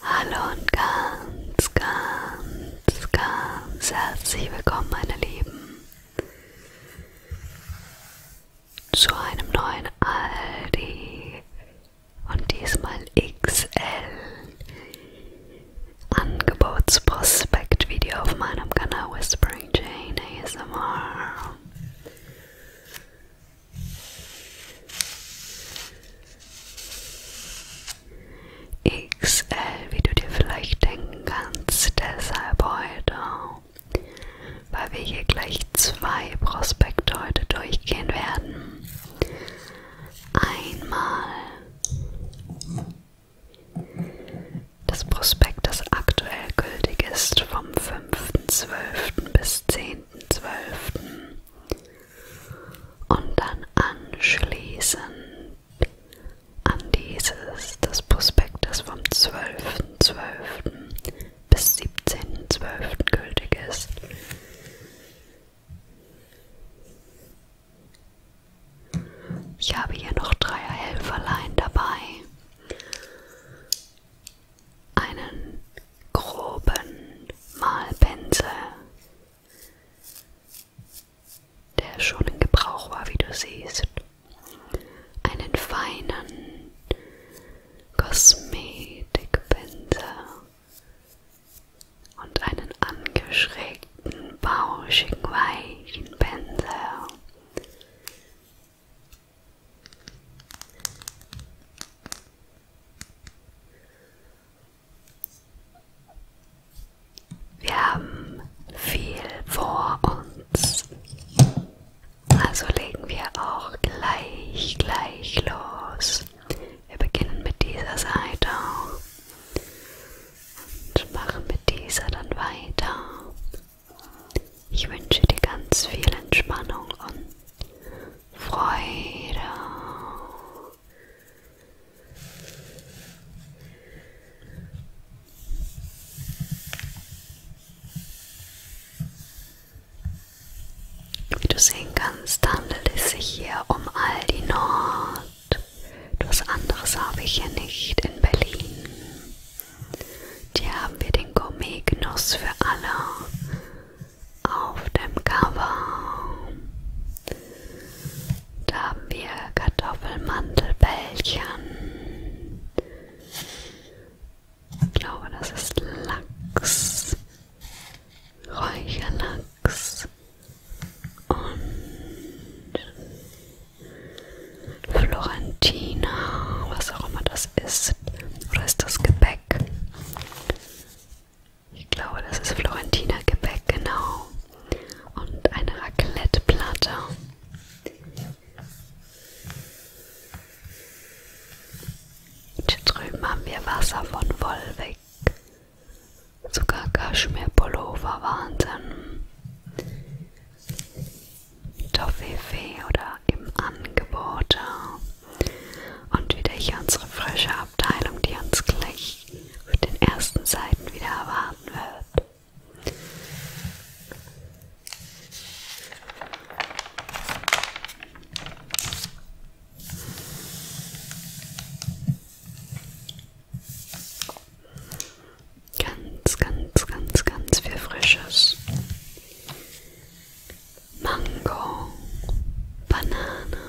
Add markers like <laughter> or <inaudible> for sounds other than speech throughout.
Hallo und ganz, ganz, ganz herzlich willkommen, meine Lieben, zu einem neuen Aldi und diesmal XL Angebotsprospekt-Video auf meinem Kanal Whispering Jane ASMR. XL, wie du dir vielleicht denken kannst, deshalb heute, weil wir hier gleich zwei Prospekte heute durchgehen werden. Einmal das Prospekt, das aktuell gültig ist vom 5. 5.12. bis 10.12. Und dann anschließend an dieses des Prospektes vom 12.12. .12. bis 17.12. gültig ist. Ich habe hier noch drei Helferlein dabei einen groben Malpinsel, der schon in Gebrauch war, wie du siehst, einen feinen Kosmetikpinsel und einen angeschrägten, bauschigen, weichen Pinsel wir haben viel vor uns, also legen wir auch gleich, gleich los. Wir beginnen mit dieser Seite und machen mit dieser dann weiter ich wünsche dir ganz viel Entspannung und Freude. Wie du sehen kannst, handelt es sich hier um Aldi Nord. Was anderes habe ich hier nicht in Berlin. Hier haben wir den Gourmet-Genuss für alle auf dem Cover. Da haben wir Kartoffelmandelbällchen. Ich glaube, das ist Lachs, Räucherlachs und Florentiner, was auch immer das ist. Oder ist das Gebäck? Ich glaube, das ist Florentiner Gebäck, genau. Und eine Raclette-Platte. Hier drüben haben wir Wasser von Wolwig. Sogar Kaschmir-Pullover, Wahnsinn. Toffifee oder im Angebot. Und wieder hier unsere frische Abteilung, die uns gleich auf den ersten Seiten wieder erwarten wird. Ganz, ganz, ganz, ganz viel Frisches. Mango, Banane,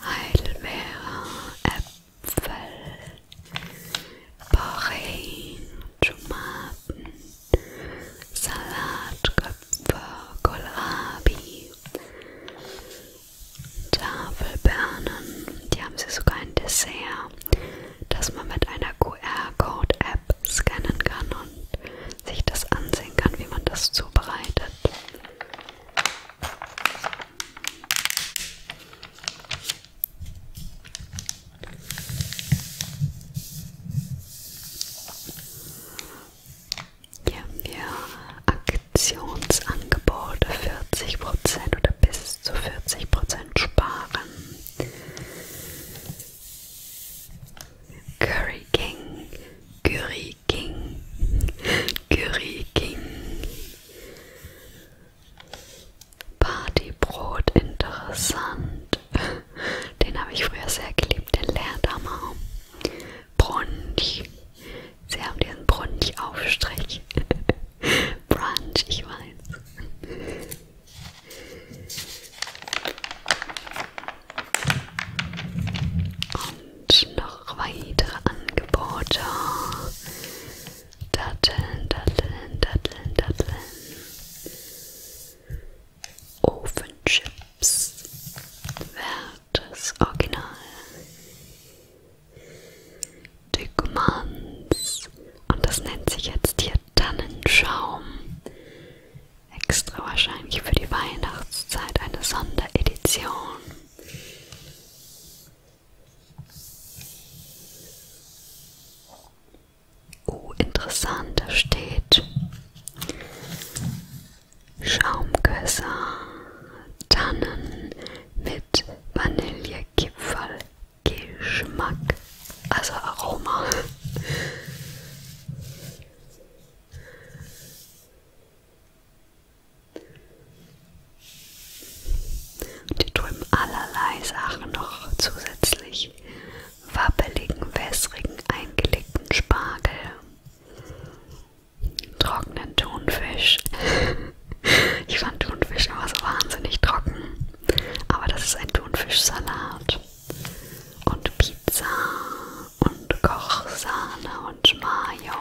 Heidelbeere, Äpfel, Porreen, Tomaten, Salatköpfe, Kohlrabi, Tafelbeeren. Die haben sie sogar ein Dessert, das man mit einer QR-Code-App scannen kann und sich das ansehen kann, wie man das zubereitet. Hier haben wir Aktionsangebote 40% oder bis zu 40% sparen. Curry King, Curry King, Curry King. Partybrot interessant. Den habe ich früher sehr geliebt, den Leerdammer. Brunch. Sie haben diesen Brunch-Aufstrich. <laughs> Brunch, ich weiß. Und noch weitere Angebote. Datteln, Datteln, Datteln, Datteln. Ofenchips. Wertes Original. Degumans. Und das nennt sich jetzt hier Tannenschaum. Extra wahrscheinlich für die Weihnachtszeit eine Sonderedition. Oh, interessant, da steht Schaumkösser, Tannen mit Vanillekipferl, Geschmack. Also Aroma. Die drüben allerlei Sachen noch zusätzlich. Wabbeligen, wässrigen, eingelegten Spargel. Trockenen Thunfisch. Ich fand Thunfisch immer so wahnsinnig trocken. Aber das ist ein Thunfischsalat und Pizza und Kochsahne und Mayo.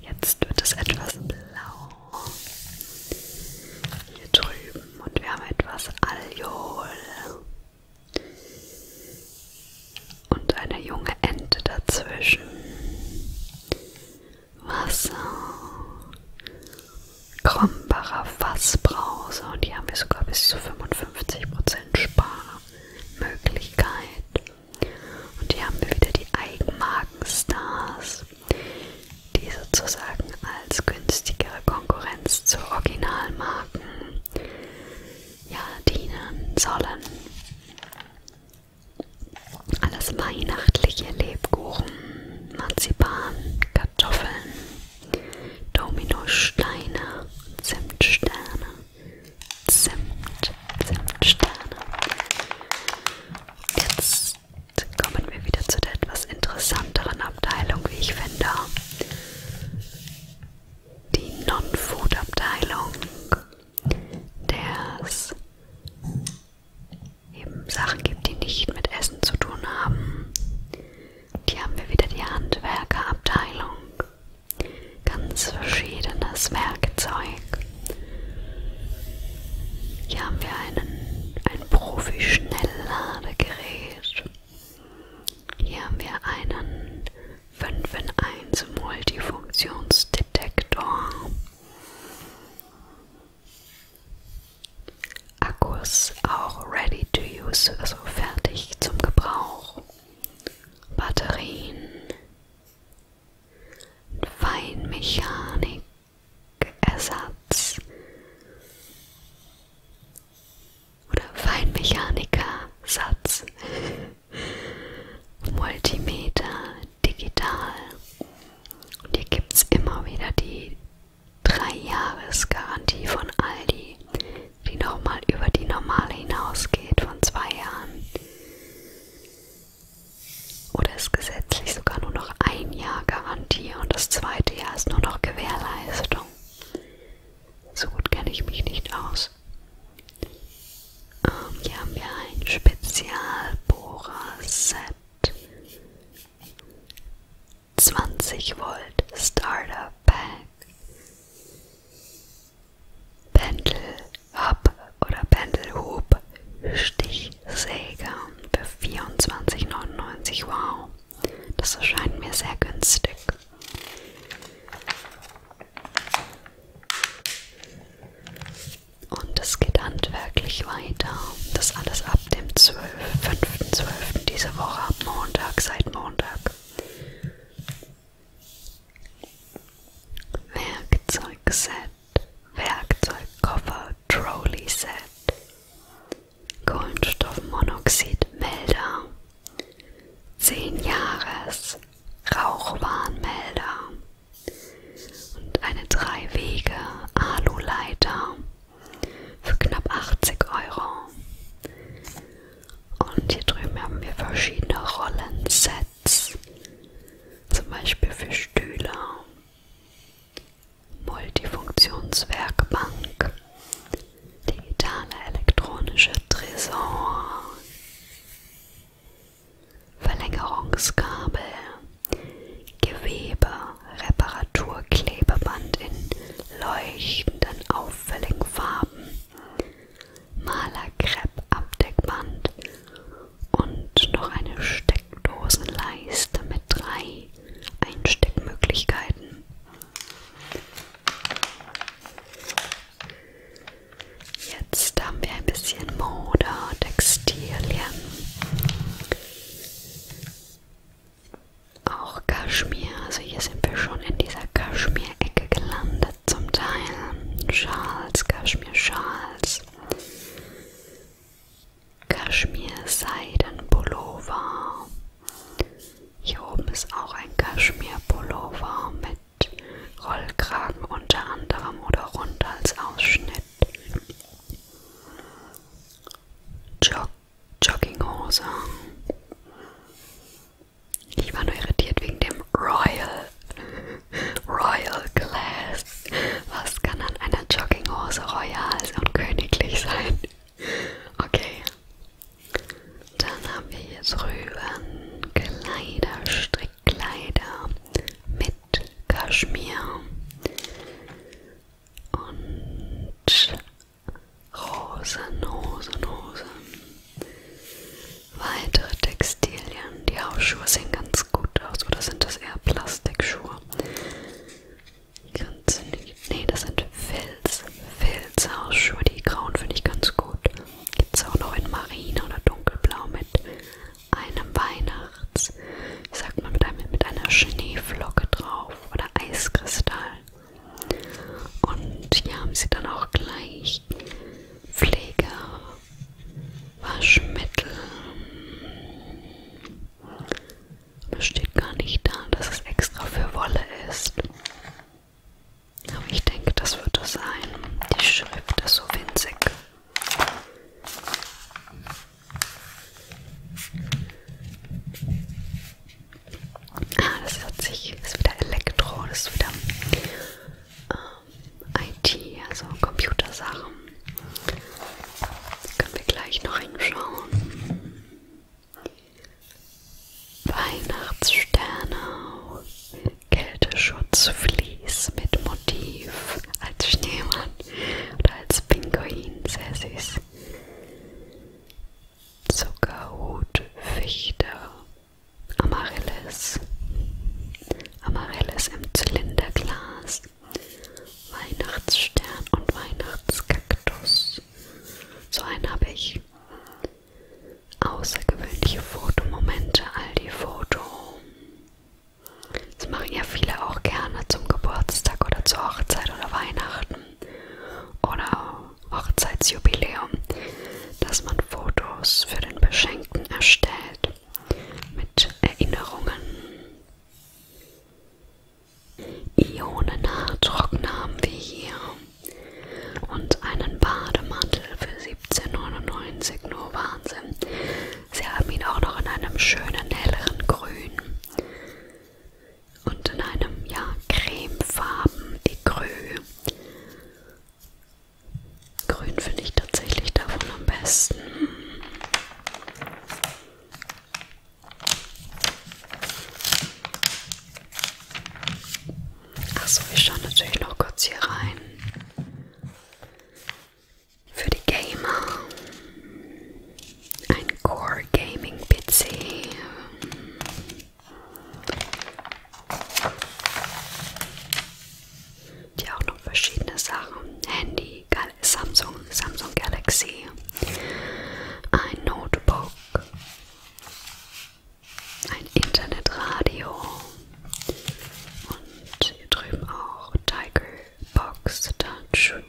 Jetzt wird es etwas blau. Hier drüben und wir haben etwas Alkohol. Und eine junge Ente dazwischen. Wasser, Krombacher Fassbrause und hier haben wir sogar bis zu 55% Sparmöglichkeit. Und hier haben wir wieder die Eigenmarkenstars, die sozusagen als günstigere Konkurrenz zu Originalmarken ja, dienen sollen. Alles weihnachtliche Lebkuchen, Marzipan, Kartoffeln, Dominosteine, Zimtsterne, Zimt, Zimtsterne. Jetzt kommen wir wieder zu der etwas interessanteren Abteilung, wie ich finde. Die Non-Food-Abteilung der es eben Sachen gibt, die nicht mit Essen zu tun haben. Hier haben wir wieder die Handwerkerabteilung. Ganz verschiedenes Werkzeug. Hier haben wir einen, ein Profi-Schnellladegerät. Hier haben wir einen 5 in 1 Multifunktionsdetektor. Akkus auch ready to use, also fertig zum Gebrauch. Batterien, Feinmechanik, Ersatz oder Feinmechaniker, Satz, <laughs> Multimeter, digital. Und hier gibt es immer wieder die 3-Jahres-Garantie von Aldi, die nochmal über die normale hinausgeht von 2 Jahren. Oder ist gesetzlich sogar nur noch ein Jahr Garantie und das zweite Jahr ist nur noch Gewährleistung. So gut kenne ich mich nicht aus. Ähm, hier haben wir ein Spezialbohrer-Set. 20 Volt Starter Pack. Pendel Hub oder Pendelhub Stichsäge für 24,99. Wow, das erscheint mir sehr günstig. Und es geht handwerklich weiter. Das alles ab dem 12. 5.12. diese Woche ab Montag, seit Montag. Werkzeugset, Werkzeugkoffer, Trolley-Set, Kohlenstoffmonoxidmelder, 10 Jahres, Rauchwarnmelder, und eine Drei-Wege-Alu-Leiter für knapp 80 Euro. Und hier drüben haben wir verschiedene Rollensets, zum Beispiel für Stühle, Multifunktionswerkbank, digitale elektronische Tresor, Verlängerungskabel, Gewebe, Reparaturklebeband in leuchtenden, auffälligen Farben, Malerkrepp-Abdeckband und noch eine Steckdosenleiste mit drei Einsteckmöglichkeiten. Jetzt haben wir ein bisschen Mode, Textilien, auch Kaschmir. Also hier sind wir schon in dieser Kaschmir-Ecke gelandet zum Teil. Schals, Kaschmir-Schals. Kaschmir-Seiden-Pullover. Hier oben ist auch ein Kaschmir-Pullover mit Rollkragen unter anderem oder rund als Ausschnitt. Jog Jogginghose. Ich war nur irritiert wegen dem Royal. <laughs> Royal Glass. Was kann an einer Jogginghose royal und königlich sein? Okay. Dann haben wir hier drüben Kleiderstrick. Kleider mit Kaschmir und Rosen, Rosen, Rosen. Weitere Textilien. Die Hausschuhe sehen ganz gut aus. Oder sind das eher Plastikschuhe? Ganz nee, das sind Filz. Filzhausschuhe. Die grauen finde ich ganz gut. Gibt es auch noch in Marine oder Dunkelblau mit einem Weihnachts, wie sagt man, mit, einem, mit einer Schneeflocke drauf oder Eiskristall. Und hier haben sie dann auch gleich Pflege, Waschmittel. Aber steht gar nicht da, dass es extra für Wolle ist. Aber ich denke, das wird es sein. Die Schrift ist so winzig. Ah, das hört sich, das ist wieder Elektro, das ist wieder ähm, IT, also Computersachen. Können wir gleich noch hinschauen. Weihnachtssterne, Kälteschutzfliegen. Bodies mit Motiv als Schneemann oder als Pinguin, sehr süß. Zuckerhut, Fichte, Amaryllis, Amaryllis im Zylinderglas, Weihnachtsstern und Weihnachtskaktus. So einen habe ich. Außergewöhnliche Fotomomente, all die Foto. Das machen ja viele auch gerne zum Geburtstag oder zur Hochzeit oder Weihnachten oder Hochzeitsjubiläum, dass man Fotos für den Beschenkten erstellt mit Erinnerungen. Ionenhaartrockner haben wir hier und einen Bademantel für 1799, nur Wahnsinn. Sie haben ihn auch noch in einem schönen helleren Grün und in einem ja cremefarben Ecru. Grün finde ich tatsächlich davon am besten. Achso, ich schaue natürlich noch kurz hier rein. Für die Gamer ein Core Gaming PC. Die auch noch verschiedene Sachen. Handy, Samsung, Samsung Galaxy, ein Notebook, ein Internetradio, und hier drüben auch Tiger Box Tanchu,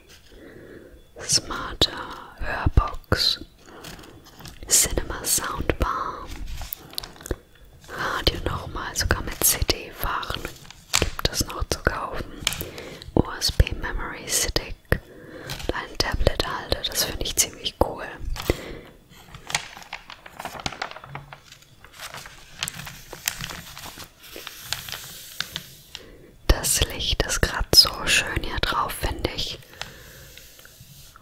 Smarter Hörbox, Cinema Soundbar, Radio nochmal, sogar mit CD-Waren gibt es noch zu kaufen, USB Memory Stick und einen Tablet-Halter, das finde ich ziemlich cool. Das Licht ist gerade so schön hier drauf, finde ich.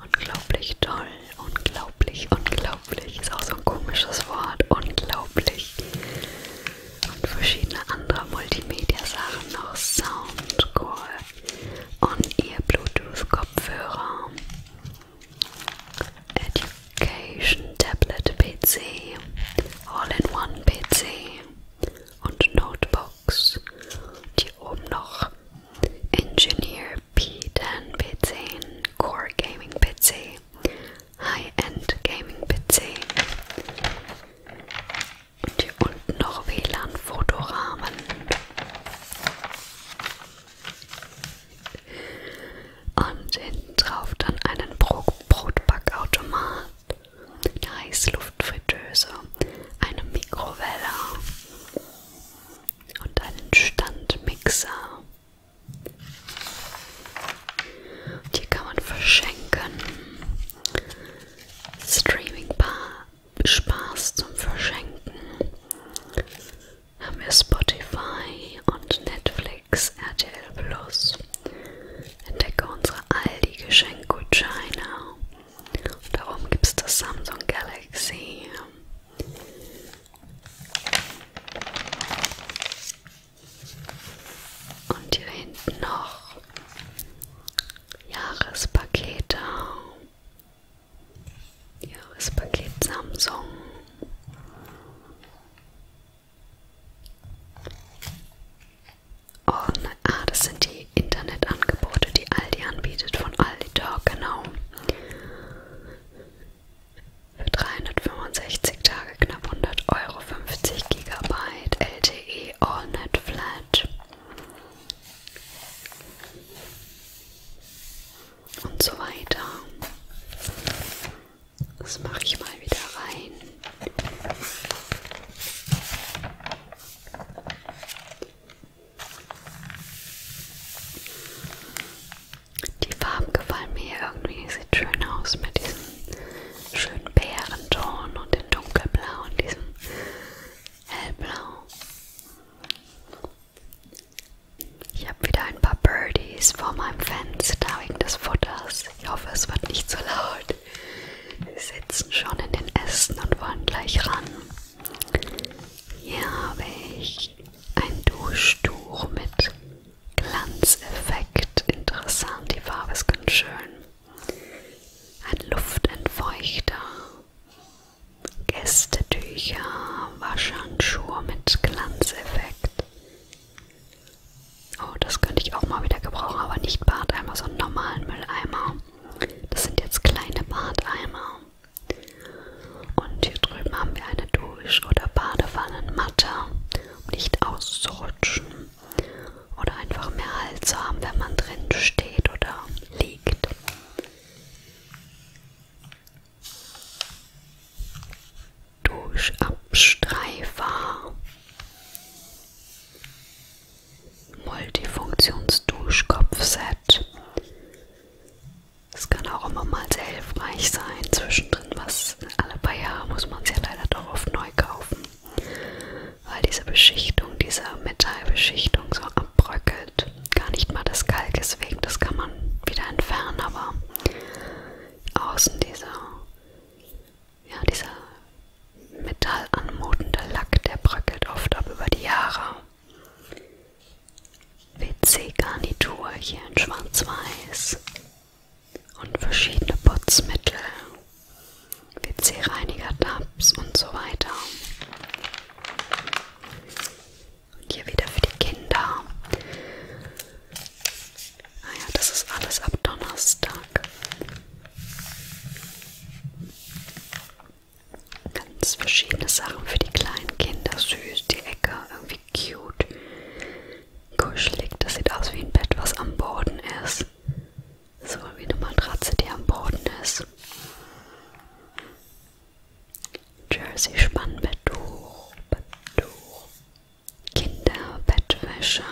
Unglaublich toll, unglaublich, unglaublich. Ist auch so ein komisches Wort, unglaublich. Und verschiedene andere Multimedia-Sachen noch. Soundcore und ihr Bluetooth-Kopfhörer. Education Tablet PC, All-in-One PC und Notebooks. Und hier oben noch Engineer P10 PC, Core Gaming PC, High-End Gaming PC. Und hier unten noch WLAN-Fotorahmen. Und hinten drauf dann einen Bro Brotbackautomat, eine Heißluftfritteuse, eine Mikrowelle und einen Standmixer. Und hier kann man verschenken. Streaming-Spaß zum Verschenken haben wir Spotify und Netflix, RTL Plus. Entdecke unsere Aldi-Geschenkgutscheine. Darum gibt es das Samsung Galaxy. Und hier hinten noch Jahrespakete. Jahrespaket Samsung. Oh nein, ah, das sind die Internetangebote, die Aldi anbietet von Aldi Talk, genau. Für 365 Tage knapp 100 Euro, 50 Gigabyte LTE AllNet Flat. Und so weiter. Das mache ich mal wieder rein. Die Farben gefallen mir irgendwie. Sieht schön aus mit diesem schönen Bärenton und dem Dunkelblau und diesem Hellblau. Ich habe wieder ein paar Birdies vor meinem Fenster wegen des Futters. Ich hoffe, es wird nicht zu so laut. Sie sitzen schon in den Ästen und wollen gleich ran. Hier habe ich ein Duschtuch mit Glanzeffekt. Interessant, die Farbe ist ganz schön. Ein Luftentfeuchter. Gästetücher, Waschhandschuhe mit Glanzeffekt. Oh, das könnte ich auch mal wieder gebrauchen, aber nicht Badeimer, sondern normalen Mülleimer. Das sind jetzt kleine Badeimer. Und hier drüben haben wir eine Dusch- oder Badewannenmatte, um nicht auszurutschen. Oder einfach mehr Halt zu haben, wenn man drin steht oder liegt durch Abstreifer, Multifunktionsduschkopfset. Es kann auch immer mal sehr hilfreich sein, zwischendrin was alle paar Jahre muss man es ja leider doch oft neu kaufen, weil diese Beschichtung, diese Metallbeschichtung so abbröckelt. Gar nicht mal das Kalk ist weg, das kann man wieder entfernen, aber außen dieser, ja, dieser metallanmutende Lack, der bröckelt oft ab über die Jahre. WC-Garnitur hier in schwarz-weiß und verschiedene Putzmittel, WC-Reiniger, Tabs und so weiter. Und hier wieder für die Kinder Ah ja, das ist alles ab Donnerstag. Ganz verschiedene Sachen für die kleinen Kinder. Süß, die Ecke, irgendwie cute. Kuschelig, das sieht aus wie ein Bett, was am Boden ist. So wie eine Matratze, die am Boden ist. Jersey Spannbetttuch, Betttuch, Kinderbettwäsche.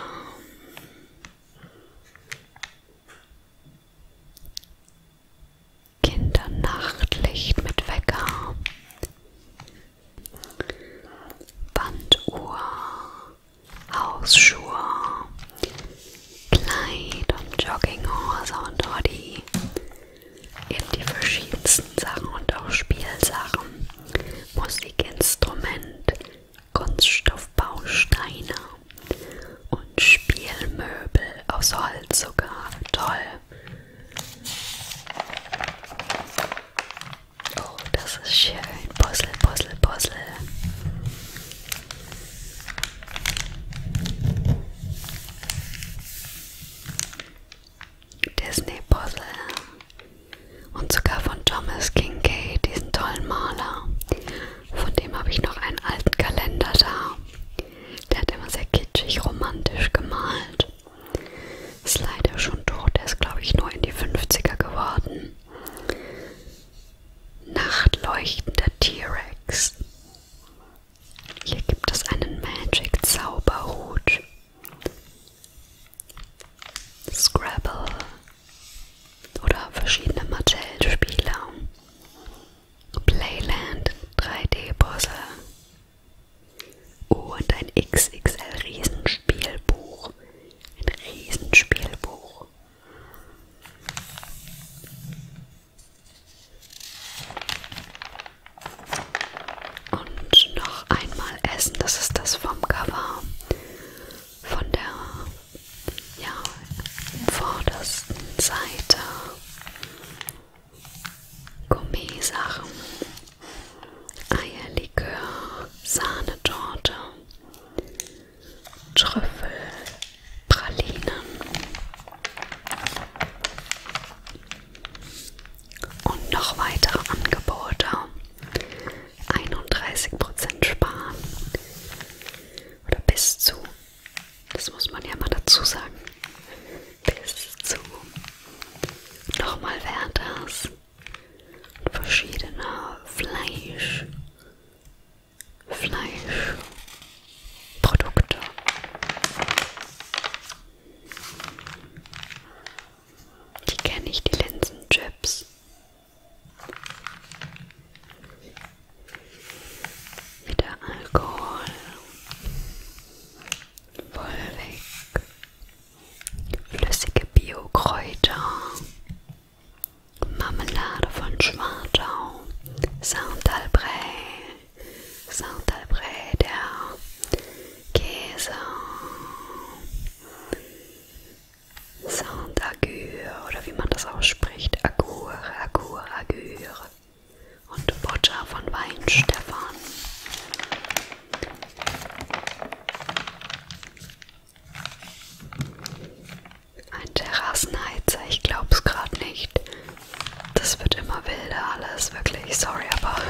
Kindernachtlicht mit Wecker. Banduhr. Hausschuhe. Kleid und Jogginghose und Hoodie. Eben die verschiedensten Sachen und auch Spielsachen. Musikinstrument, Kunststoffbausteine und Spielmöbel aus Holz sogar. Toll. Oh, das ist schön. Puzzle, Puzzle, Puzzle. Disney-Puzzle und sogar von Thomas Kincaid, diesen tollen Maler. Von dem habe ich noch einen alten Kalender da. Der hat immer sehr kitschig, romantisch gemalt. Ist leider schon tot, der ist glaube ich nur in die 50er geworden. Nachtleuchtender T-Rex. Hier gibt es einen Magic Zauberhut. Scrabble oder verschiedene Mattel-Spiele, Playland, 3D-Puzzle und ein XXL-Riesenspielbuch. Ein Riesenspielbuch. Und noch einmal essen, das ist das vom Cover von der ja, vordersten Seite. Gourmet-Sachen, Eierlikör, Sahnetorte, Trüffel, Pralinen und noch weitere Angebote. 31% sparen. Oder bis zu. Das muss man ja mal dazu sagen. Bis zu. Nochmal wäre das. Verschiedene Fleisch. Fleischprodukte. Die kenne ich, die Linsenchips. Wieder Alkohol. Wollweg. Flüssige Biokräuter. Marmelade von Schwartau. Saint-Albrecht. Saint-Albrecht, der Käse. Saint Agur oder wie man das ausspricht, Agur, Agur, Agur und Boccia von Weinstefan. Ein Terrassenheizer, ich glaub's gerade nicht. Das wird immer wilder alles, wirklich, sorry, aber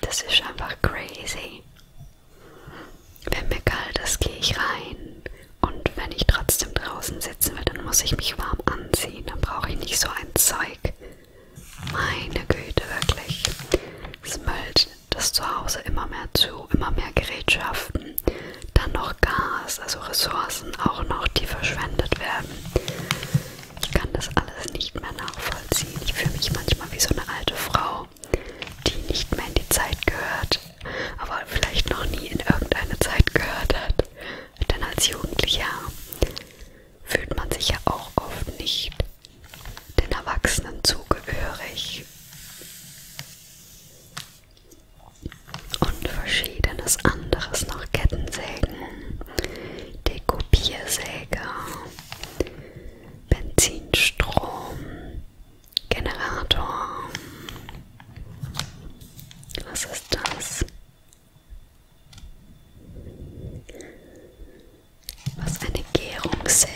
das ist einfach crazy. Wenn mir kalt ist, gehe ich rein. Und wenn ich trotzdem draußen sitzen will, dann muss ich mich warm anziehen. Dann brauche ich nicht so ein Zeug. Meine Güte, wirklich. Es müllt das Zuhause immer mehr zu, immer mehr Gerätschaften. Dann noch Gas, also Ressourcen auch noch, die verschwendet werden. Ich kann das alles nicht mehr nachvollziehen. Ich fühle mich manchmal wie so eine alte Frau, die nicht mehr in die Zeit gehört, aber vielleicht noch nie in irgendeine Zeit gehört hat. Denn als Jugendlicher fühlt man sich ja auch oft nicht den Erwachsenen zugehörig. Und verschiedenes anderes noch Kettensägen, Dekopiersäge, Benzinstrom, Generator. Was ist das? Was eine Gärungssäge.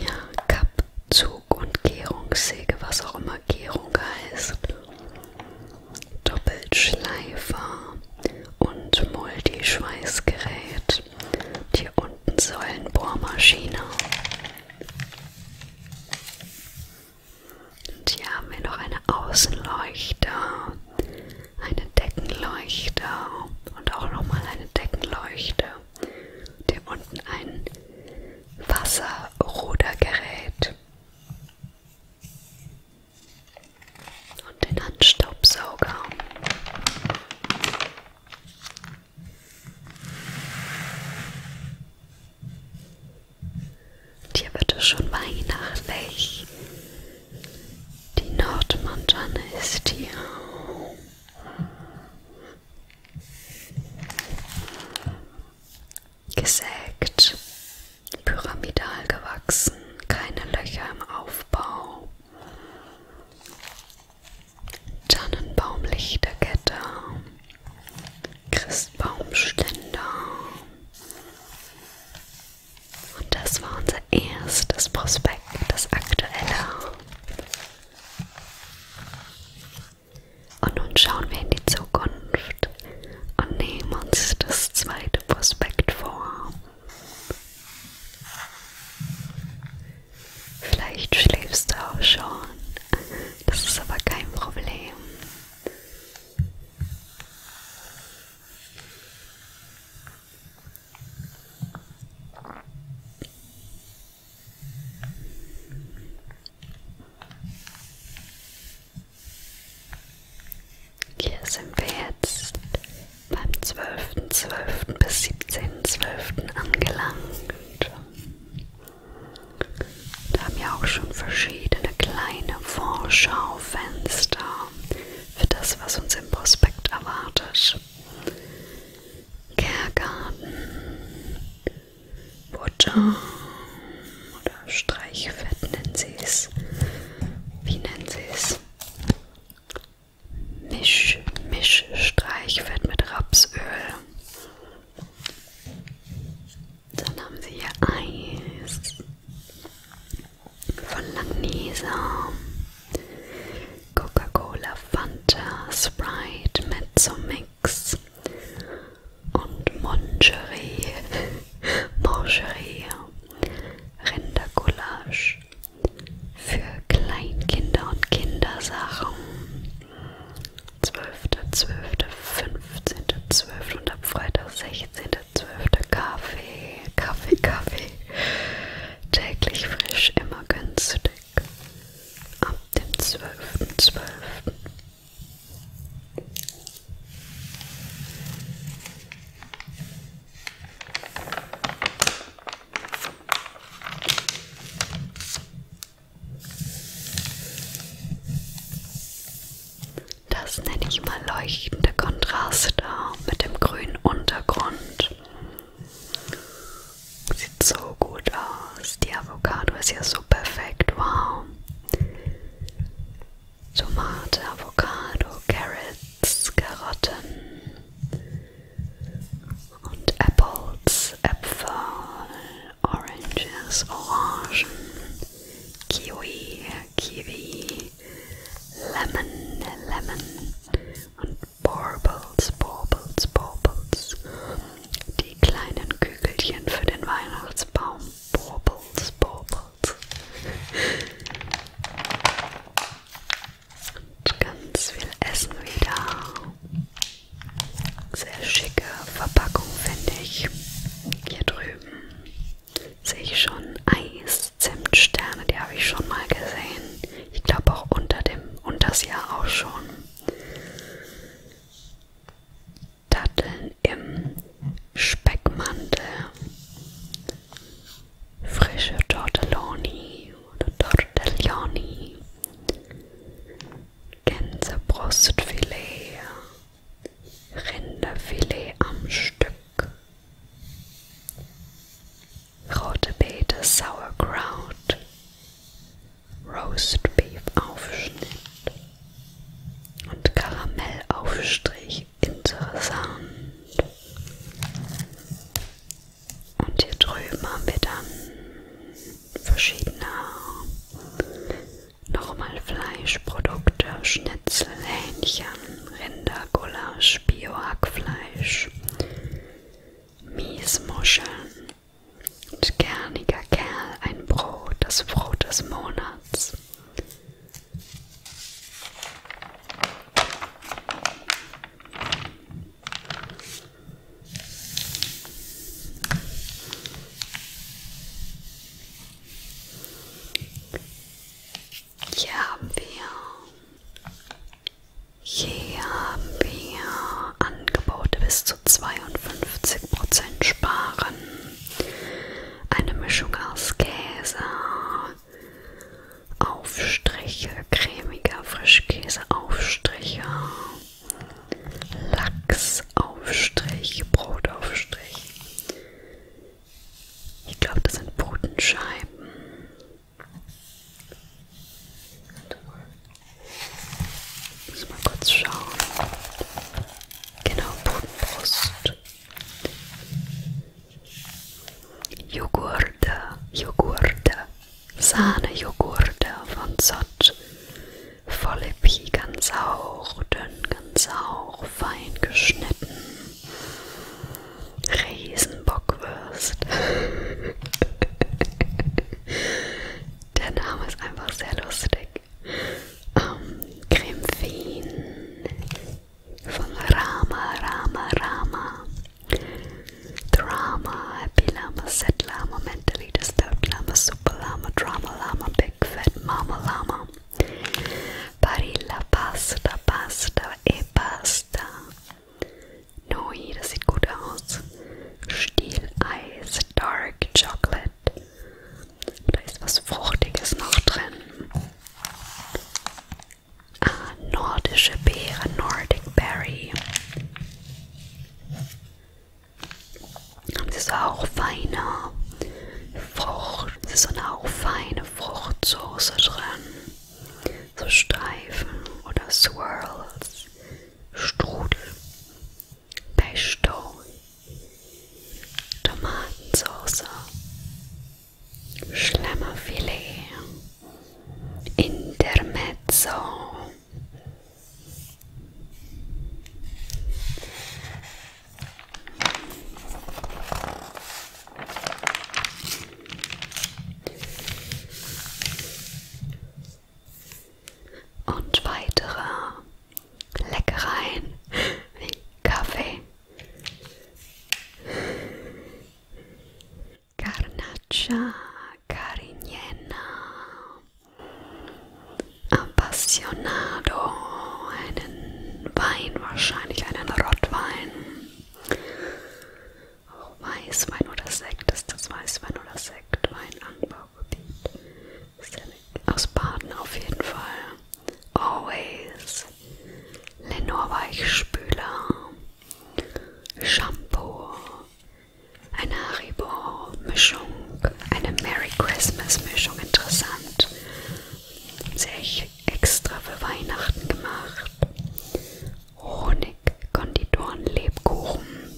Ja, Kappzug und Gärungssäge, was auch immer Lackierung heißt Doppelschleifer und Multischweißgerät. Und hier unten Säulenbohrmaschine. Und hier haben wir noch eine Außenleuchte, eine Deckenleuchte und auch nochmal eine Deckenleuchte. Und hier unten ein Wasserrudergerät und den Handstaubsauger. Und hier wird es schon weihnachtlich. Die Nordmontanne ist hier gesägt, pyramidal gewachsen, keine Löcher im Aufbau. Tannenbaumlichterkette, Christbaumständer. Und das war unser erstes Prospekt, das aktuelle. Und nun schauen wir in die Zukunft und nehmen uns das zweite Prospekt vor. Vielleicht schläfst du auch schon, das ist aber kein Problem. Hier sind wir jetzt beim 12.12. .12. bis 17.12. angelangt. Da haben ja auch schon verschiedene kleine Vorschaufenster für das, was uns im Prospekt erwartet. Kehrgarten, Butter, oder Streichfett nennen sie es. Wie nennen sie es? Misch, Mischstreichfett mit Rapsöl. Dann haben sie hier Eis von Langnese, Coca-Cola, Fanta, Sprite, Mezzo Mix, und Mongerie, <laughs> Mangerie, Rindergulasch für Kleinkinder und Kindersachen. 12.12., 15.12. und ab Freitag 16.12. Kaffee, Kaffee, Kaffee. Täglich frisch, immer günstig. Ab dem 12.12. .12. Das nenne ich mal leuchtende Kontraste mit dem grünen Untergrund. Sieht so gut aus. Die Avocado ist ja so perfekt. Wow. Tomate, Avocado, Carrots, Karotten und Apples, Äpfel, Oranges, Orangen, Kiwi, Kiwi, Lemon, Lemon und Baubles, Baubles, Baubles. Die kleinen Kügelchen für den Weihnachtsbaum, Baubles, Baubles. Haut. Und ganz viel Essen wieder. Sehr schicke Verpackung, finde ich. Hier drüben sehe ich schon Eis, Zimtsterne, die habe ich schon mal gesehen. Ich glaube auch unter dem, unters Jahr auch schon. Datteln im Speckmantel, frische Tortelloni oder Tortelloni, Gänsebrustfilet, Rinderfilet am Stück, rote Beete Sauerkraut, Roast Beef Aufschnitt und Karamellaufstrich interessant. Und hier drüben haben wir dann verschiedene nochmal Fleischprodukte, Schnitzel, Hähnchen, Rinder, Gulasch, Biohackfleisch, Miesmuscheln und Gerniger Kerl, ein Brot, das Brot des Monats. Hier haben wir, hier haben wir Angebote bis zu 52% sparen. Eine Mischung aus Käse, Aufstriche, cremiger Frischkäse, Aufstriche, Lachsaufstrich, Brotaufstrich. Ich glaube, das sind Putenscheiben. Muss mal kurz schauen. Genau, Putenbrust. Joghurt, Joghurt, Sahne-Joghurt von Zott, Vollepi ganz auch, dünn ganz auch, fein geschnitten, Riesenbockwürst. <laughs> Der Name ist einfach sehr lustig ähm, Cremefeen von Rama, Rama, Rama, Drama, Happy Lama, Set Lama, Mentally Disturbed Lama, Super Lama, Drama Lama, Big Fat Mama Lama, Barilla Pasta, Pasta, E-Pasta, eh, Noi, das sieht gut aus, Stieleis, Dark Chocolate, da ist was Fruchtiges noch drin. Ah, nordische Beere, Nordic Berry. Das ist auch feine Frucht. Es ist so eine auch feine Fruchtsoße drin. So Streifen oder Swirls. Strudel. Pesto. Tomatensauce, Schlemmerfilet, Intermezzo. Und weitere Leckereien wie Kaffee, Carnaccia Carignana Appassionado, einen Wein, wahrscheinlich einen Rottwein. Auch Weißwein oder Sekt ist das Weißwein oder Sektwein Anbaugebiet. Ist ja aus Baden auf jeden Fall. Always. Lenor Weichspüler. Shampoo. Eine Haribo-Mischung. Eine Merry Christmas-Mischung. Interessant. Sehr extra für Weihnachten gemacht. Honig, Konditoren, Lebkuchen.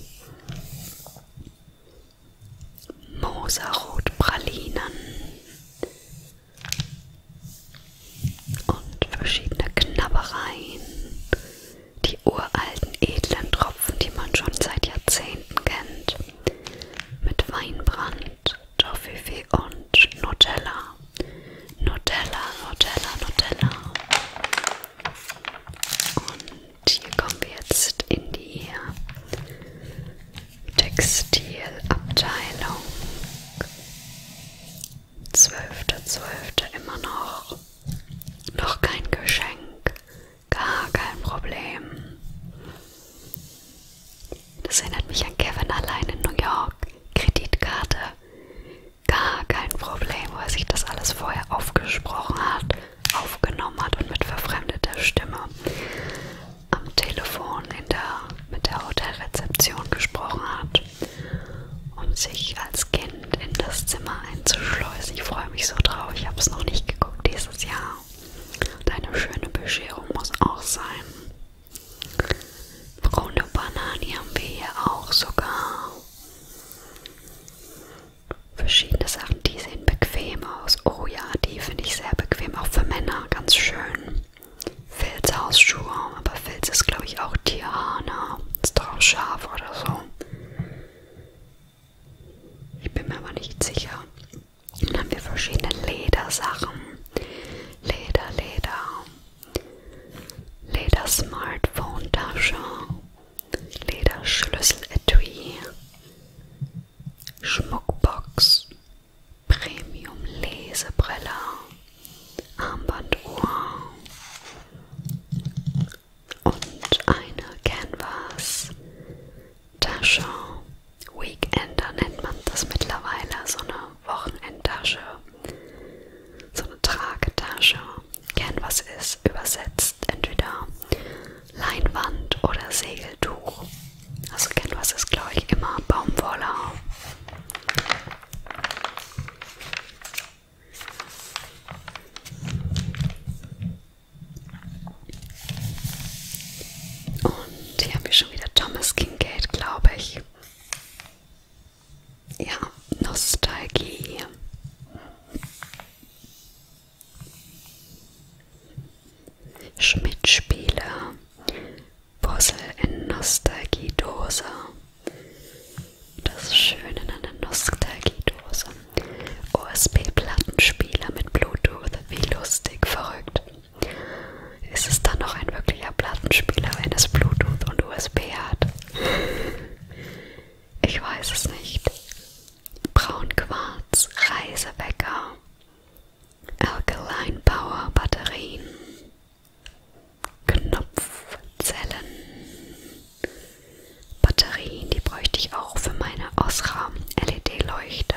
Moserot Pralinen. Und verschiedene Knabbereien, die uralten edlen Tropfen, die man schon seit Jahrzehnten kennt, mit Weinbrand, Toffifee und Nutella. Nutella, Nutella, Nutella. Und hier kommen wir jetzt in die Textilabteilung. 12.12. 12. immer noch. Noch kein Geschenk. Gar kein Problem. Das erinnert mich an Kevin allein in New York. Kreditkarte. Gar kein Problem, weil sich das alles vorher aufgesprochen hat, aufgenommen hat und mit verfremdeter Stimme am Telefon in der, mit der Hotelrezeption gesprochen hat, um sich als Kind in das Zimmer einzuschleusen. Ich freue mich so drauf, ich habe es noch nicht geguckt dieses Jahr. Und eine schöne Bescherung muss auch sein. Braune Bananen haben wir hier auch sogar. Verschiedene Sachen, die sehen bequem aus. Oh ja, die finde ich sehr bequem, auch für Männer, ganz schön. Filzhausschuhe, aber Filz ist glaube ich auch Tierhaar, ne? Ist doch auch Schaf oder so. Ich bin mir aber nicht sicher. Und dann haben wir verschiedene Ledersachen. Leder, Leder. Leder-Smartphone-Tasche. Leder-Schlüssel-Etui. Schmuckbox. Premium Lesebrille, Armbanduhr und eine Canvas Tasche. Weekender nennt man das mittlerweile, so eine Wochenendtasche, so eine Tragetasche. Canvas ist übersetzt entweder Leinwand oder Segeltuch. Also Canvas ist glaube ich immer Baumwolle. Und hier haben wir schon wieder Thomas Kincaid, glaube ich. Ja, Nostalgie. Schmidt-Spieler, Puzzle in Nostalgiedose. Das ist schön in einer Nostalgiedose. OSB-Plattenspieler mit Bluetooth, wie lustig, verrückt. Ist es dann noch ein wirklicher Plattenspieler, wenn es Bluetooth und USB hat? Ich weiß es nicht. Braunquarz, Reisewecker, Alkaline Power Batterien, Knopfzellen, Batterien, die bräuchte ich auch für meine Osram LED-Leuchte.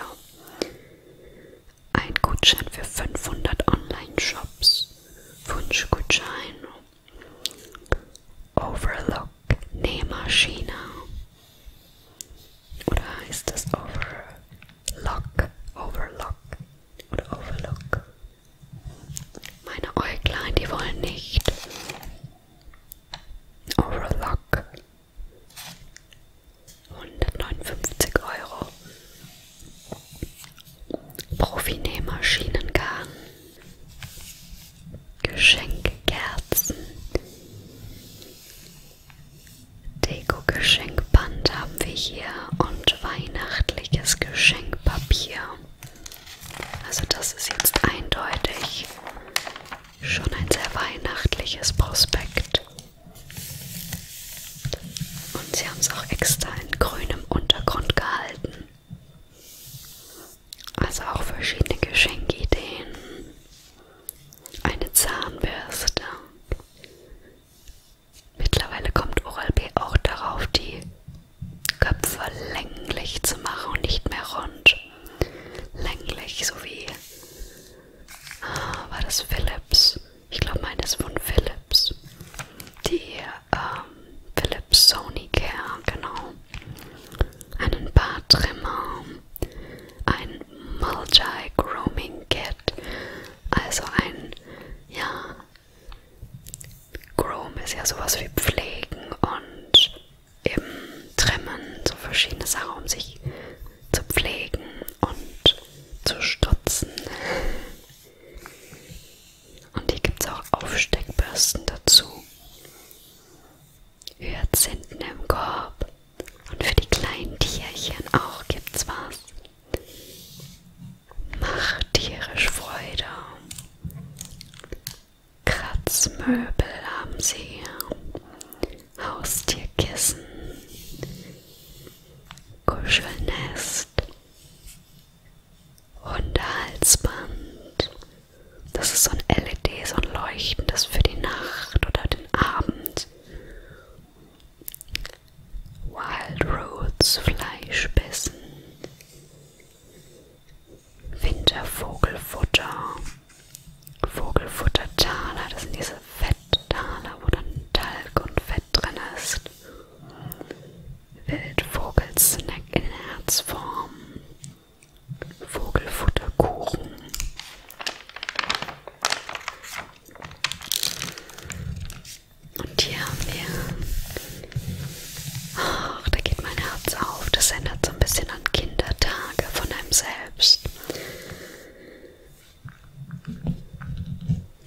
Ein Gutschein für 500 Online-Shops, Wunschgutschein, Overlook Nähmaschine. Oder heißt das Over Lock, Overlock oder Overlook. Meine Äuglein, die wollen nicht. Overlock. 159 Euro. Profinähmaschinengarn. Geschenkkerzen. Deko-Geschenkband haben wir hier und weihnachtliches Geschenkpapier. Also das ist jetzt eindeutig schon ein sehr weihnachtliches Prospekt. Und sie haben es auch extra in grünem Untergrund gehalten. Also auch verschiedene Geschenkideen. Eine Zahnbürste Mittlerweile kommt Oral-B auch darauf, die Köpfe länglich zu machen und nicht mehr rund. Länglich, so wie ah, war das Philips. Ich glaube, meine ist von Philips. Die ähm, Philips Sony Care, genau. Einen Bartrimmer, ein Multi Grooming Kit. Palette. Also ein, ja, Groom ist ja sowas wie Pflegen und eben Trimmen, so verschiedene Sachen, um sich zu pflegen und zu stutzen. Und hier gibt es auch Aufsteckbürsten dazu. Hyazinthen im Korb, und für die kleinen Tierchen auch gibt's was. Mach tierisch Freude. Kratzmöbel haben sie. Haustierkissen. Kuschelnest. Hundehalsband. Das ist so ein LED, so ein leuchtendes für die Nacht oder den Abend. Wild Roots Fleischbissen, Wintervogelfutter, Vogelfuttertaler, das sind diese Fetttaler, wo dann Talg und Fett drin ist, Wildvogelsnack in Herzform, Vogelfutterkuchen. Und hier haben wir, ach, oh, da geht mein Herz auf. Das ändert so ein bisschen an Kindertage von einem selbst.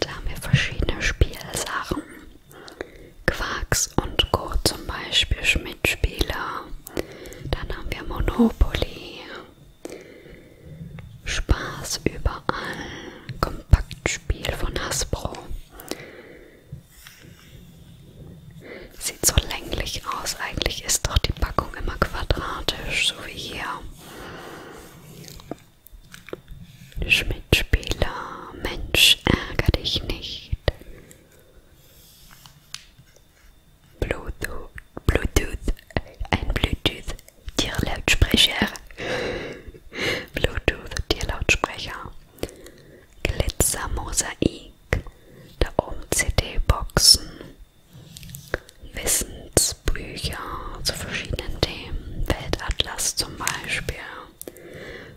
Da haben wir verschiedene Spielsachen. Quarks und Co. zum Beispiel Schmidtspieler. Dann haben wir Monopoly, Spaß überall. Kompaktspiel von Hasbro. Sieht so länglich aus. Eigentlich ist doch die Packung immer quadratisch, so wie hier. Schmidtspieler, Mensch, ärgere dich nicht. Bluetooth, Bluetooth, ein Bluetooth Tierlautsprecher, Bluetooth Tierlautsprecher, Glitzermosaik, da oben CD-Boxen, Wissensbücher zu verschiedenen Themen, Weltatlas zum Beispiel,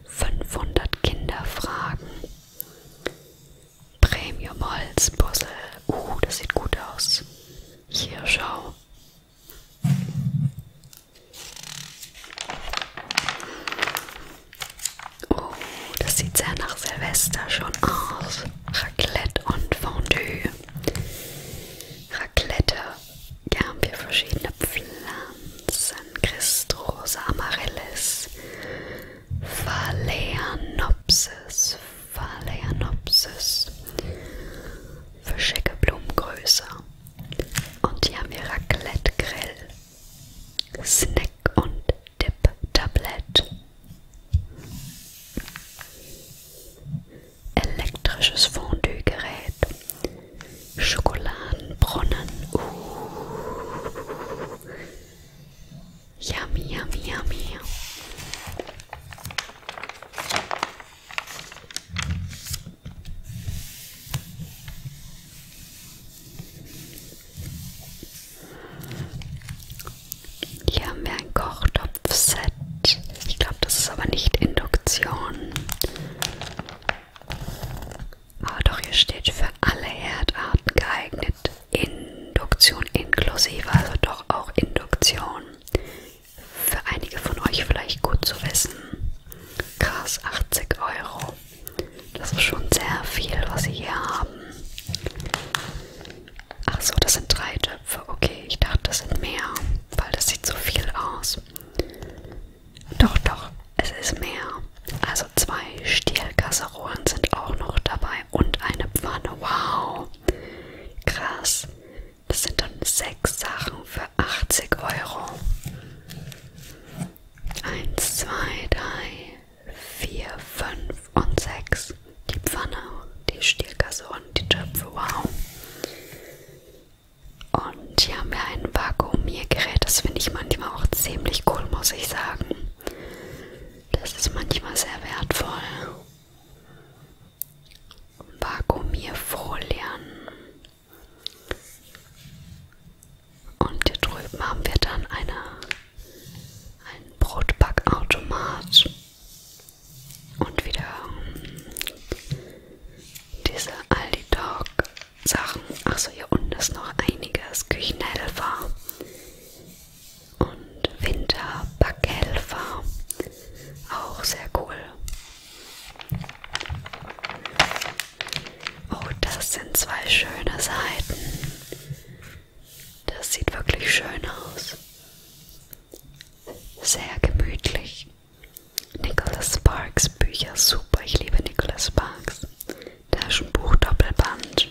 500 Kinderfragen, Premium Holzpuzzle, uh, das sieht gut aus. Hier schau, Oh, das sieht sehr nach Silvester schon aus. Raclette und Fondue. Raclette. Da haben wir verschiedene Pflanzen. Christrosa Amaryllis, Phalaenopsis, Phalaenopsis für schicke Blumengröße. Und hier haben wir Raclette Grill, Snack und Dip Tablet. Elektrisches Fondue-Gerät. Schokoladenbrunnen. Uh. Yummy, yummy, yummy. Hier haben wir ein Kochtopfset. Ich glaube, das ist aber nicht Induktion. Aber doch, hier steht für alle Herdarten geeignet. Induktion inklusive, also doch auch Induktion für einige von euch vielleicht gut zu wissen. Krass, 80 Euro. Das ist schon sehr viel, was sie hier haben. Ach so, das sind drei Töpfe. Okay, ich dachte, das sind mehr, weil das sieht so viel aus. Doch, doch, es ist mehr. Also zwei Stielkasserolen sind auch noch dabei und eine Pfanne. Wow, krass. Das sind dann sechs Sachen für 80 Euro. Eins, zwei, drei, vier, fünf und sechs. Die Pfanne, die Stielkasse und die Töpfe. Wow. Und hier haben wir ein Vakuumiergerät. Das finde ich manchmal auch ziemlich cool, muss ich sagen. Das ist manchmal sehr wertvoll. Vakuumierfolien. Und hier drüben haben wir dann eine, einen Brotbackautomat und wieder hm, diese Aldi Dog Sachen. Achso, hier unten ist noch einiges. Küchenhelfer und Winterbackhelfer. Auch sehr cool. Oh, das sind zwei schöne Seiten. Das sieht wirklich schön aus. Sehr gemütlich. Nicholas Sparks Bücher, super. Ich liebe Nicholas Sparks. Taschenbuch Doppelband.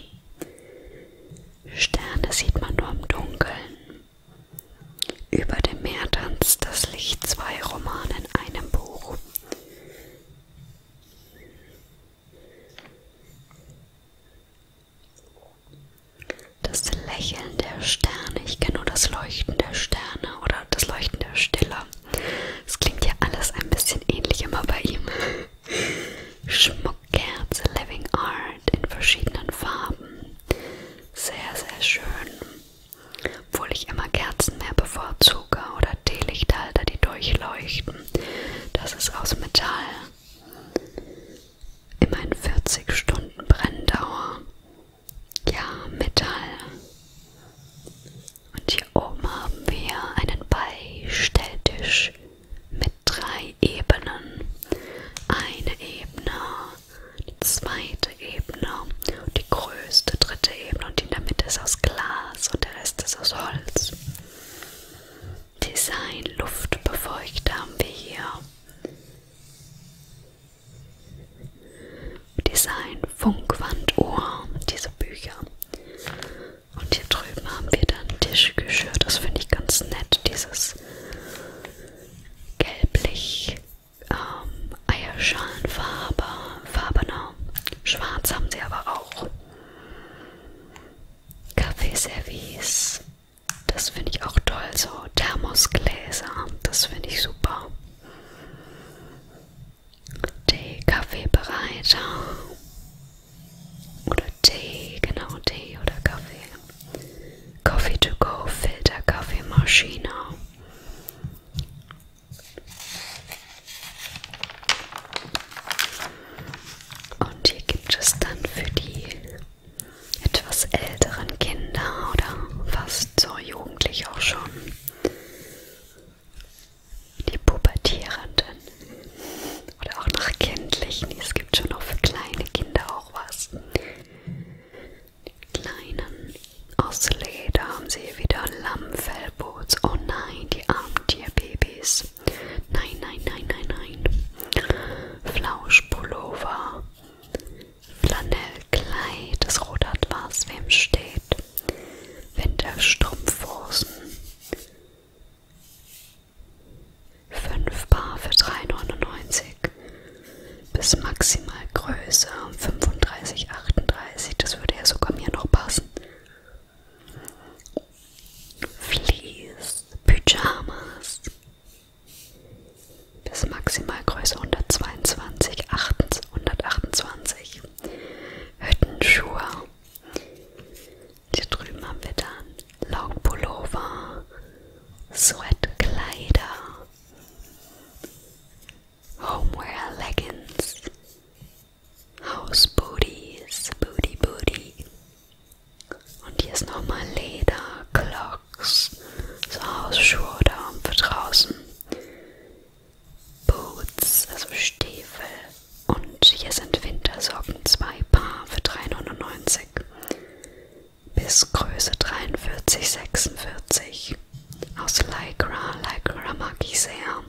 Sterne sieht man nur im Dunkeln. Über dem Meer tanzt das Licht zwei Romane in einem Buch. Das Lächeln der Sterne, ich kenne nur das Leuchten der Sterne oder das Leuchten der Stille. Es klingt ja alles ein bisschen ähnlich immer bei ihm. Schmuckkerze, Living Art in verschiedenen Farben. Sehr, sehr schön. Obwohl ich immer Kerzen mehr bevorzuge oder Teelichthalter, die durchleuchten. Das ist aus Metall. Immerhin 40 Stunden Brenndauer. Ja, Metall. Und hier oben haben wir einen Beistelltisch mit drei Ebenen. Eine Ebene, die zweite Ebene, die größte dritte Ebene und die in der Mitte ist aus Glas und der Rest ist aus Holz. Design Luftbefeuchter haben wir hier. Design Funkwanduhr, diese Bücher. Und hier drüben haben wir dann Tischgeschirr. Das finde ich ganz nett, dieses gelblich, ähm, Eierschalenfarbe, farbener. Schwarz haben sie aber auch. Kaffeeservice. Das finde ich auch toll. So Thermosgläser. Das finde ich super. Tee, Kaffeebereiter. Oder Tee, genau Tee oder Kaffee. Coffee to go Filter Kaffeemaschine. Und hier gibt es dann für die etwas älteren Kinder oder fast so jugendlich auch schon die Pubertierenden oder auch nach Kindlichen. Es gibt schon auch für kleine Kinder auch was kleinen aus Leder haben sie wieder Lammfellboots. Oh nein, die armen Tierbabys. Nein, nein, nein, nein, nein. Flauschpullover, Flanellkleid, das Rot hat was, wem steht. Winterstrumpfhosen, 5 Paar für 3,99 bis maximal Größe 35, 38. Das würde ja sogar mir noch passen. Fleece, Pyjamas bis maximal Größe 122, 128. Hüttenschuhe. Hier drüben haben wir dann Laugpullover, Sweatkleider, Homeware Leggings, House Booties, Booty Booty. Und hier ist nochmal Leder, Clocks, so Hausschuhe da für draußen. Boots, also Stiefel. Und hier sind Wintersocken, zwei Paar für 3,99 bis Größe 43, 46 aus Lycra, Lycra mag ich sehr,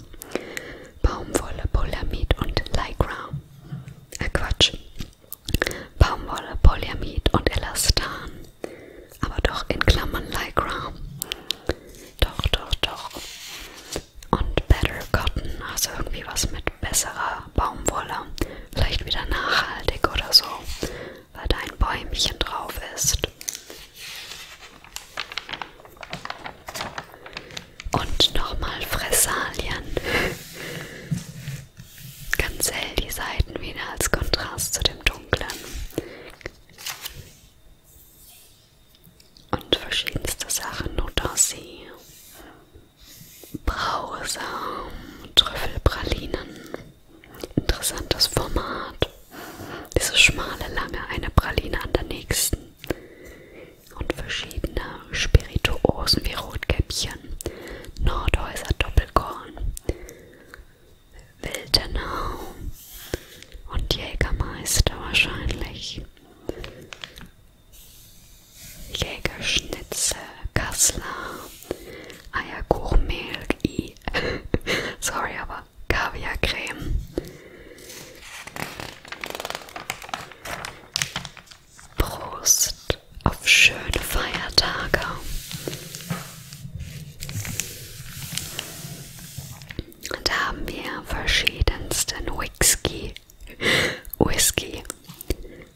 Baumwolle, Polyamid und Lycra, äh Quatsch, Baumwolle, Polyamid und Elastan, aber doch in Klammern Lycra, doch, doch, doch, und Better Cotton, also irgendwie was mit besserer Baumwolle, vielleicht wieder nachhaltig oder so, weil da ein Bäumchen drauf ist. Und nochmal Fressalien. Ganz hell die Seiten wieder als Kontrast zu dem Dunklen. Und verschiedenste Sachen, Nutossi, Brausamen, Trüffelpralinen. Interessantes Format. Diese schmale Lange, eine Praline an der nächsten. Und verschiedene Spirituosen wie Rotkäppchen, Nordhäuser Doppelkorn, Wildenau und Jägermeister wahrscheinlich. Jägerschnitze, Kassler Eierkuchenmehl, i. <laughs> Sorry, aber Kaviarcreme. Prost auf schöne Feiertage. Und da haben wir verschiedensten Whisky. Whisky.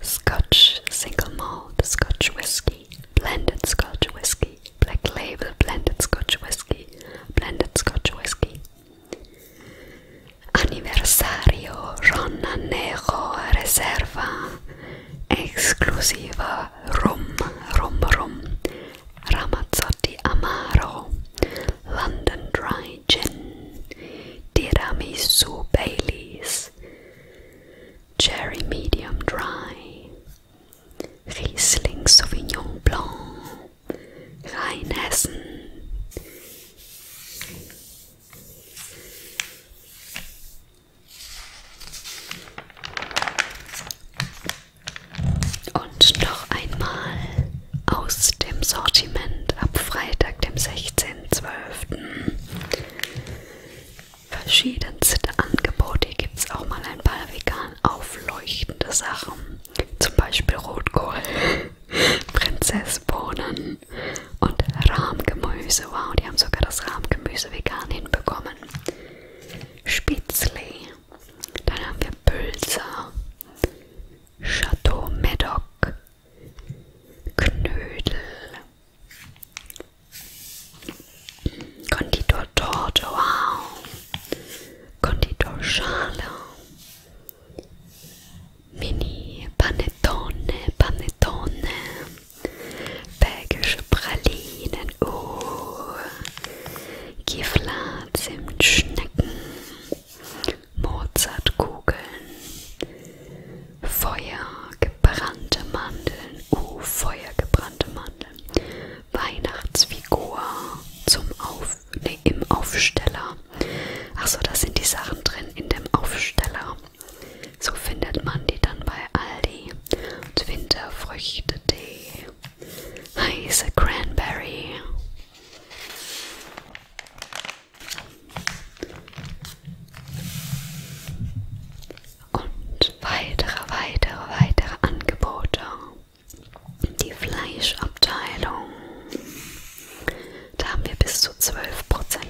Scotch single malt Scotch whiskey, blended Scotch whiskey, black label blended Scotch whiskey, blended Scotch whiskey. Anniversario Negro Reserva Exclusiva Rum Rum Rum Ramazzotti Amaro London Dry Gin Tiramisu Baileys Cherry Medium Dry, Riesling Sauvignon Blanc, Rheinhessen. Und noch einmal aus dem Sortiment ab Freitag, dem 16.12 verschiedenste Angebote. Hier gibt es auch mal ein paar vegan aufleuchtende Sachen. Zum Beispiel Rotkohl, <laughs> Prinzessbohnen und Rahmgemüse. Wow, die haben sogar das Rahmgemüse vegan hinbekommen. Spitzli. Dann haben wir Pölzer, Chateau Medoc, Knödel, Konditortorte, wow. Konditorschale. Mini Panettone, Panettone. Belgische Pralinen, oh. Uh. Gifla, Zimtschnecken. Mozartkugeln. Feuer, gebrannte Mandeln, oh Feuer, gebrannte Mandeln, Weihnachtsfigur zum Auf, nee, im Aufsteller. Achso, da sind die Sachen drin in dem Aufsteller. So findet man die dann bei Aldi. Und Winterfrüchtetee, heiße Cranberry und weitere, weitere, weitere Angebote. Die Fleischabteilung. Da haben wir bis zu 12%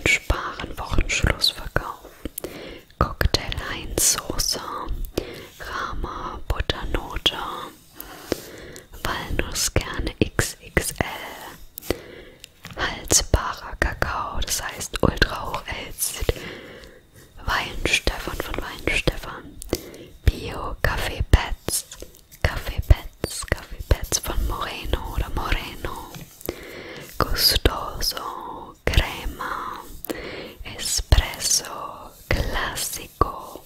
Sparen, Wochenschlussverkauf. Cocktail Heinzsoße, Rama Butternote, Walnusskerne XXL, haltbarer Kakao, das heißt ultra hoch erhitzt. Weinstefan von Weinstefan. Bio Kaffee Pets. Kaffee Pets. Kaffee Pets von Moreno oder Moreno. Gustoso Crema. Espresso Classico.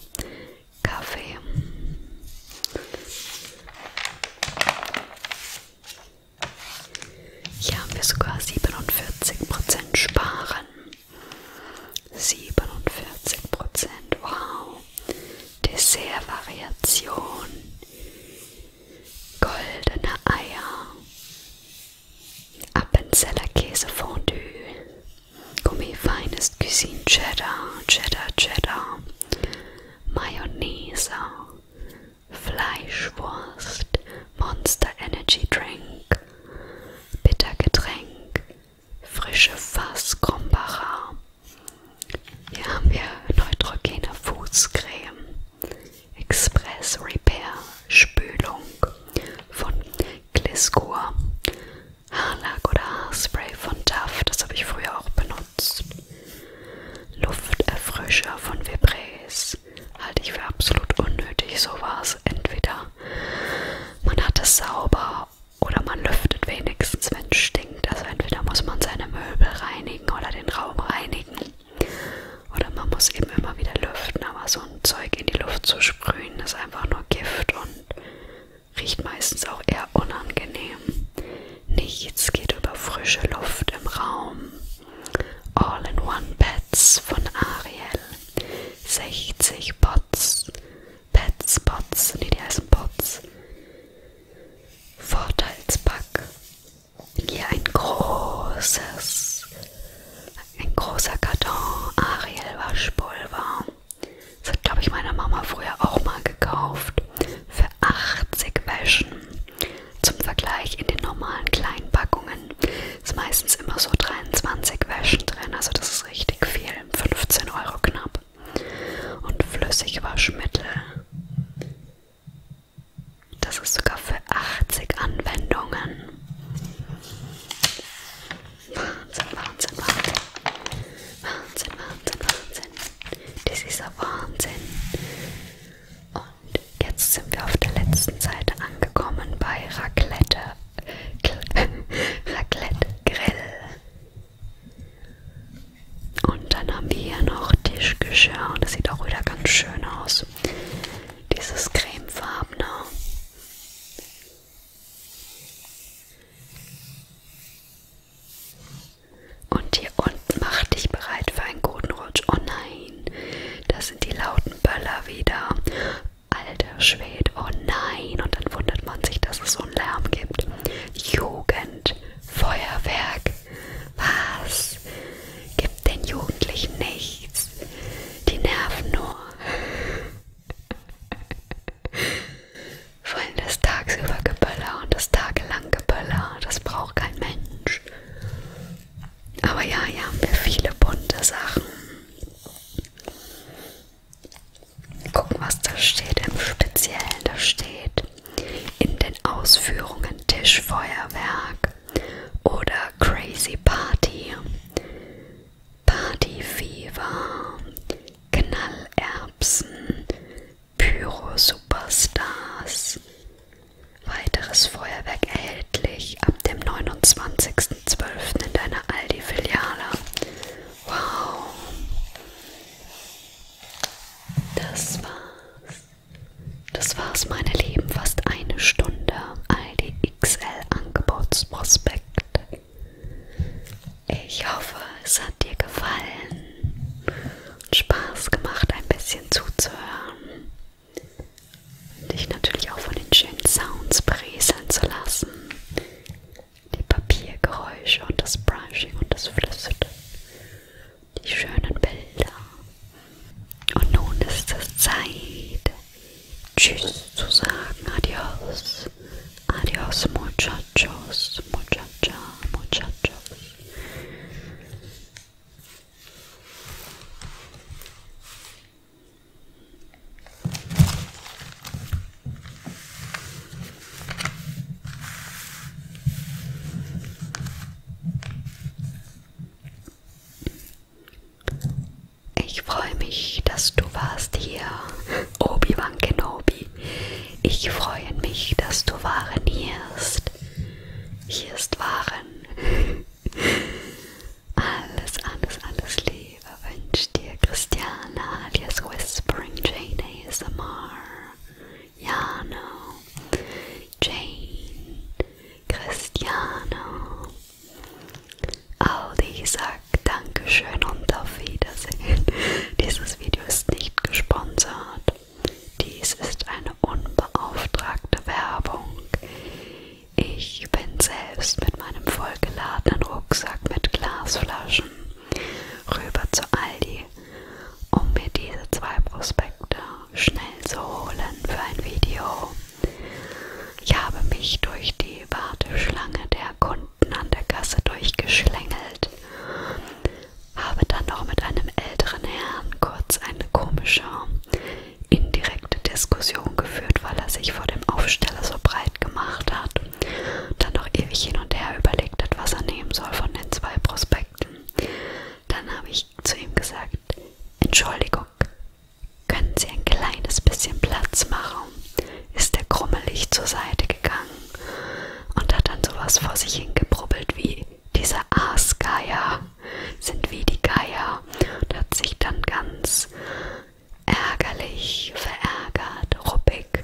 Kaffee. Hier haben wir sogar 47% Sparen. 47%, wow. Dessertvariation. Goldene Eier. Appenzeller Käsefondue. Gummifeines Cuisine Cheddar, Cheddar, Cheddar. Mayonnaise. Fleischwurst, Monster Energy Drink, Bittergetränk, frische Fass Krombacher. Hier haben wir neutrogene Fußcreme, Express Repair, Spülung von Gliscor, Haarlack oder Haarspray von Duff, das habe ich früher auch benutzt. Lufterfrischer von Vibres, ist, halte ich für absolut unnötig. So war es. Entweder man hat es sauber oder man lüftet wenigstens, wenn es stinkt. Also entweder muss man seine Möbel reinigen oder den Raum reinigen. Oder man muss eben immer wieder lüften, aber so ein Zeug in die Luft zu sprühen, ist einfach nur Gift und riecht meistens auch eher unangenehm. Nichts geht über frische Luft im Raum. All-in-One-Pads von Ariel. 60 Pots. Pads, Pots, nee, die heißen Pots. Vorteilspack. Hier ein großes, ein großer Karton Ariel Waschpulver. Das hat, glaube ich, meine Mama früher auch mal gekauft. Für 80 Wäschen. Zum Vergleich in den normalen kleinen Packungen ist meistens immer so 23 Wäschen drin, also das ist richtig viel, 15 Euro knapp. Und Flüssigwaschmittel, das ist sogar für 80 Anwendungen. Wahnsinn, Wahnsinn, Wahnsinn. Wahnsinn, Wahnsinn, Wahnsinn. Das ist ein Wahnsinn. Oh, und jetzt sind wir auf der letzten Seite angekommen bei Raclette. <laughs> Raclette Grill. Und dann haben wir hier noch Tischgeschirr. Und das sieht auch wieder ganz schön aus. Dieses cremefarbene. Und hier unten mach dich bereit für einen guten Rutsch. Oh nein, das sind die lauten Böller wieder. Alter Schwede, oh nein. Und dann wundert man sich, dass es so einen Lärm gibt. Jugend, Feuerwerk. Was? Gibt den Jugendlichen nichts. Die nerven nur. Vor <laughs> allem das tagsüber Geböller und das tagelang Geböller. Das braucht kein Mensch. Aber ja, hier haben wir viele bunte Sachen. Gucken, was da steht. Im Speziellen, da steht in den Ausführungen Tischfeuerwerk oder Crazy Party, Party Fever, Knallerbsen, Pyro Superstars, Weiteres Feuerwerk erhältlich ab dem 29.12. in deiner Aldi-Filiale. Wow! Das war's. Das war's, meine Lieben. Fast eine Stunde Aldi XL Angebotsprospekt. Ich hoffe, es hat dir gefallen und Spaß gemacht, ein bisschen zuzuhören und dich natürlich auch von den schönen Sounds breseln zu lassen. Die Papiergeräusche und das Brushing und das Flüstern. Die schönen Bilder. Und nun ist es Zeit, Tschüss zu sagen. Adios. Adios, muchachos, muchacha, muchachos. Ich freue mich, dass du warst hier, Obi-Wan Kenobi. Ich freue mich, dass du Waren hierst. Hier ist Waren. Alles, alles, alles Liebe wünscht dir Christiana alias Whispering Jane ASMR. Jano, Jane, Christiano. Aldi sagt Dankeschön und auf Wiedersehen. <laughs> Dieses Video ist nicht gesponsert. Dies ist ein eine unbeauftragte Werbung. Ich bin selbst mit meinem vollgeladenen Rucksack mit Glasflaschen rüber zu Aldi, um mir diese zwei Prospekte schnell zu holen für ein Video. Ich habe mich durch die Warteschlange der Kunden an der Kasse durchgeschlängelt, habe dann noch mit einem älteren Herrn kurz eine komische indirekte Diskussion geführt, weil er sich vor dem Aufsteller so breit gemacht hat, dann noch ewig hin und her überlegt hat, was er nehmen soll von den zwei Prospekten. Dann habe ich zu ihm gesagt, Entschuldigung, können Sie ein kleines bisschen Platz machen? Ist er krummelig zur Seite gegangen und hat dann sowas vor sich hingebrubbelt wie dieser Aasgeier sind wie die Geier und hat sich dann ganz ärgerlich, verärgert, ruppig,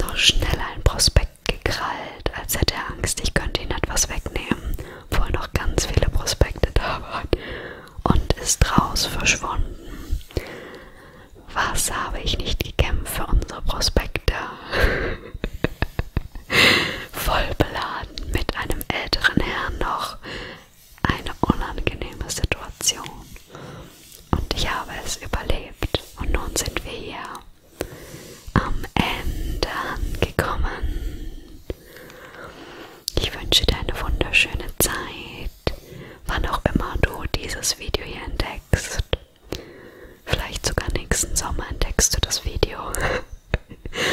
noch schnell ein Prospekt gekrallt, als hätte er Angst, ich könnte ihn etwas wegnehmen, obwohl noch ganz viele Prospekte da waren, und ist raus verschwunden. Was habe ich nicht gekämpft für unsere Prospekte? <laughs> voll beladen mit einem älteren Herrn noch eine unangenehme Situation. Und ich habe es überlebt. Und nun sind wir hier am Ende angekommen. Ich wünsche dir eine wunderschöne Zeit, wann auch immer du dieses Video hier entdeckst. Vielleicht sogar nächsten Sommer entdeckst du das Video. <laughs>